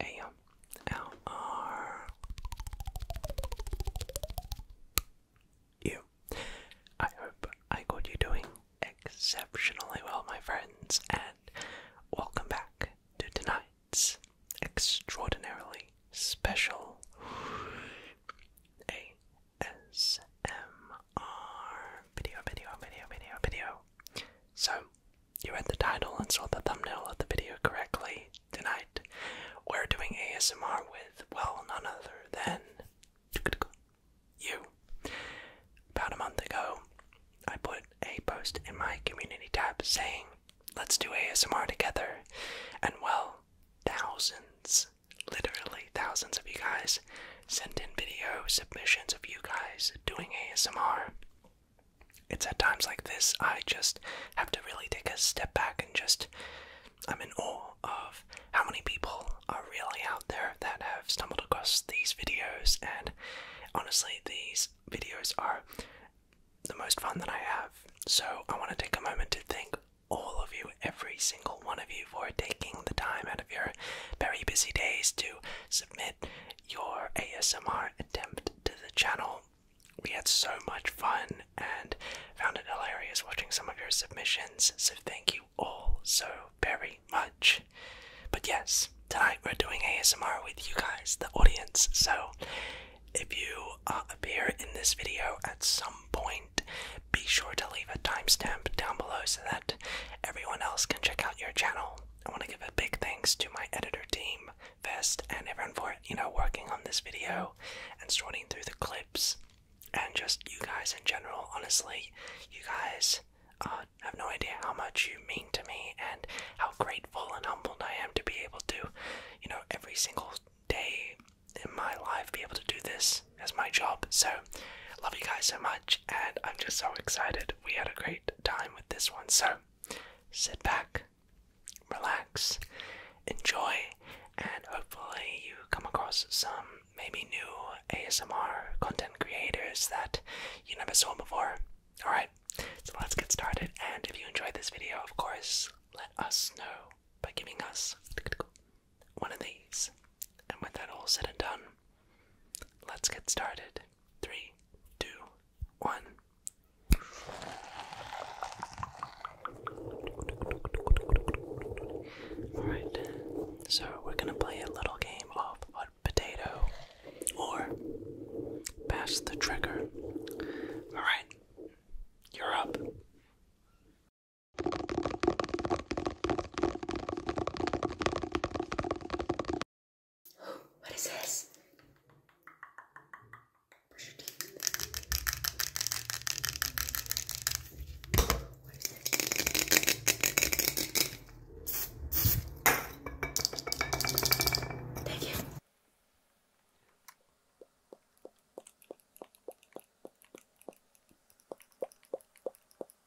AMLR. You. I hope I got you doing exceptionally well, my friends, and welcome back to tonight's extraordinarily special A S M video, video, video, video, video. So, you read the title and saw the thumbnail of the video correctly. Tonight, we're doing ASMR with, well, none other than you. About a month ago, I put a post in my community tab saying, let's do ASMR together. And, well, thousands, literally thousands of you guys Send in video submissions of you guys doing ASMR. It's at times like this I just have to really take a step back and just. I'm in awe of how many people are really out there that have stumbled across these videos, and honestly, these videos are the most fun that I have. So, I want to take a moment to thank all of you, every single one of you, for taking the time out your very busy days to submit your ASMR attempt to the channel. We had so much fun and found it hilarious watching some of your submissions, so thank you all so very much. But yes, tonight we're doing ASMR with you guys, the audience, so if you uh, appear in this video at some point, be sure to leave a timestamp down below so that Everyone else can check out your channel. I want to give a big thanks to my editor team, Vest, and everyone for, you know, working on this video and sorting through the clips and just you guys in general. Honestly, you guys uh, have no idea how much you mean to me and how grateful and humbled I am to be able to, you know, every single day in my life be able to do this as my job. So, love you guys so much, and I'm just so excited. We had a great time with this one. So, sit back, relax, enjoy, and hopefully, you come across some maybe new ASMR content creators that you never saw before. Alright, so let's get started. And if you enjoyed this video, of course, let us know by giving us one of these. And with that all said and done, let's get started. Three, two, one. Alright, so we're gonna play a little game of hot potato or pass the trigger. Alright, you're up. What is this? Brush your teeth. What is this? Thank you.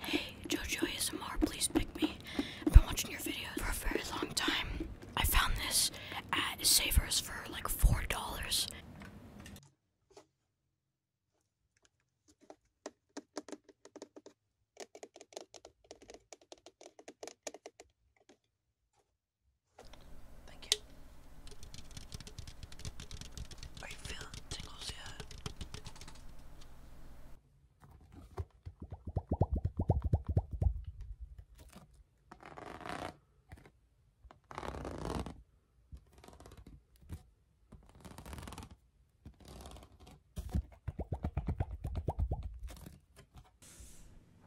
Hey, Jojo ASMR, please pick me. I've been watching your videos for a very long time. I found this at Savers for like $4. Thank you. Are you feeling tingles yet?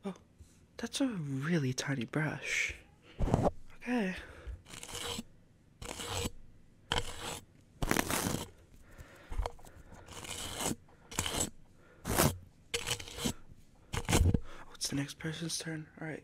Oh, that's a really tiny brush. Okay. Oh, it's the next person's turn. All right.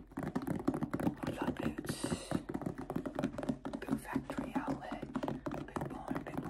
Love Boots, Boot Factory Outlet, Big Boy, Big Boy.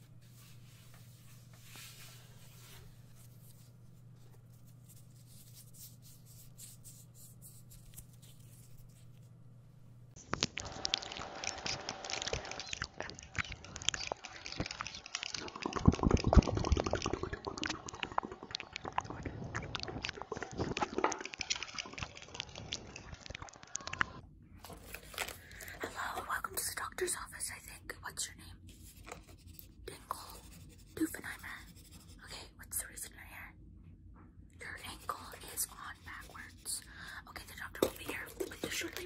Hello, welcome to the doctor's office, I think. What's your name? Dingle, Doofenheimer. Okay, what's the reason your hair? Your ankle is on backwards. Okay, the doctor will be here with you shortly.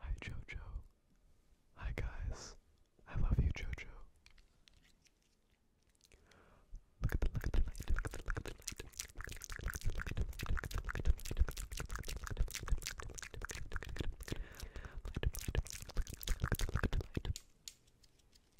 Hi, Jojo. Hi, guys. I love you, Jojo. Look at the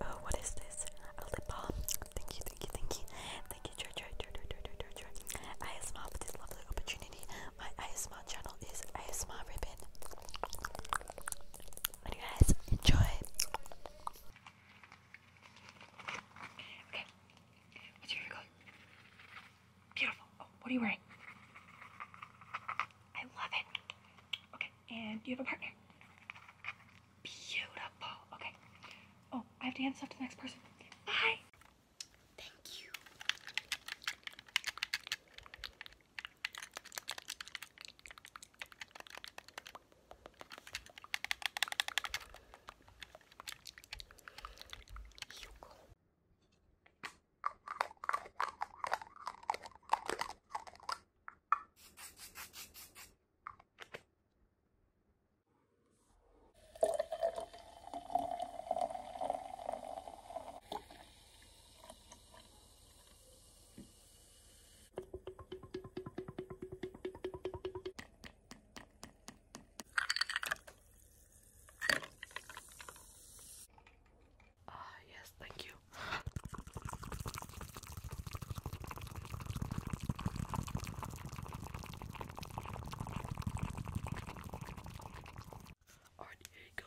Oh, what is this? A lip balm. Thank you, thank you, thank you. Thank you, George, George, George, George, George, George. ASMR for this lovely opportunity. My ASMR channel is ASMR Ribbon. And you guys enjoy. Okay. What's your hair color? Beautiful. Oh, what are you wearing? I love it. Okay. And you have a partner? Beautiful. Okay. Oh, I have to hand stuff to the next person. Bye. Thank you. Ah, yes, thank you. All right, here you go.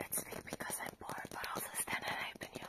It's big because I'm poor, but also stand and I've y'all.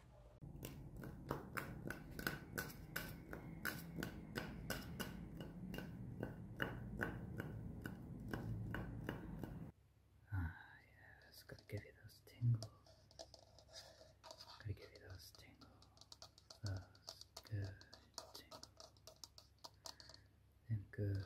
Ah, yes, gotta give you those tingles. Gotta give you those tingles. Those good tingles. Them good tingles.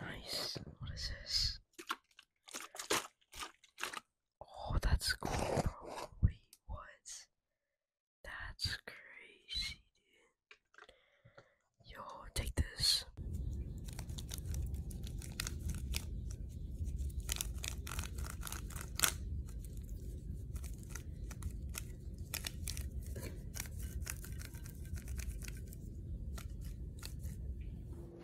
Nice. What is this? Oh, that's cool, what? That's crazy, dude. Yo, take this.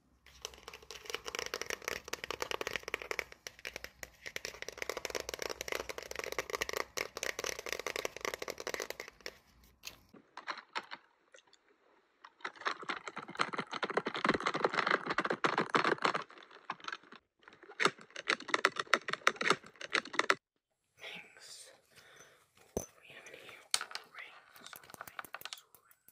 Rings. What do we have in here? Rings, rings, rings.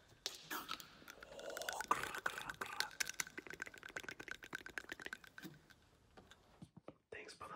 Oh, grr, grr, grr. Thanks, brother.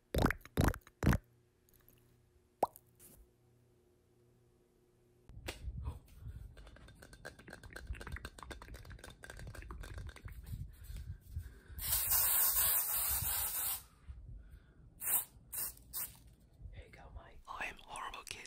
Here you go, Mike. I am a horrible kid.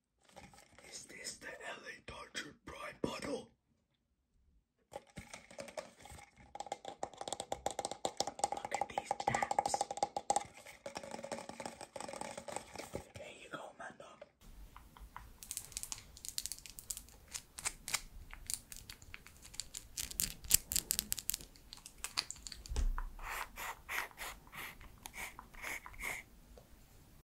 Is this the LA Dodger Pride bottle? Look at these taps. There you go, man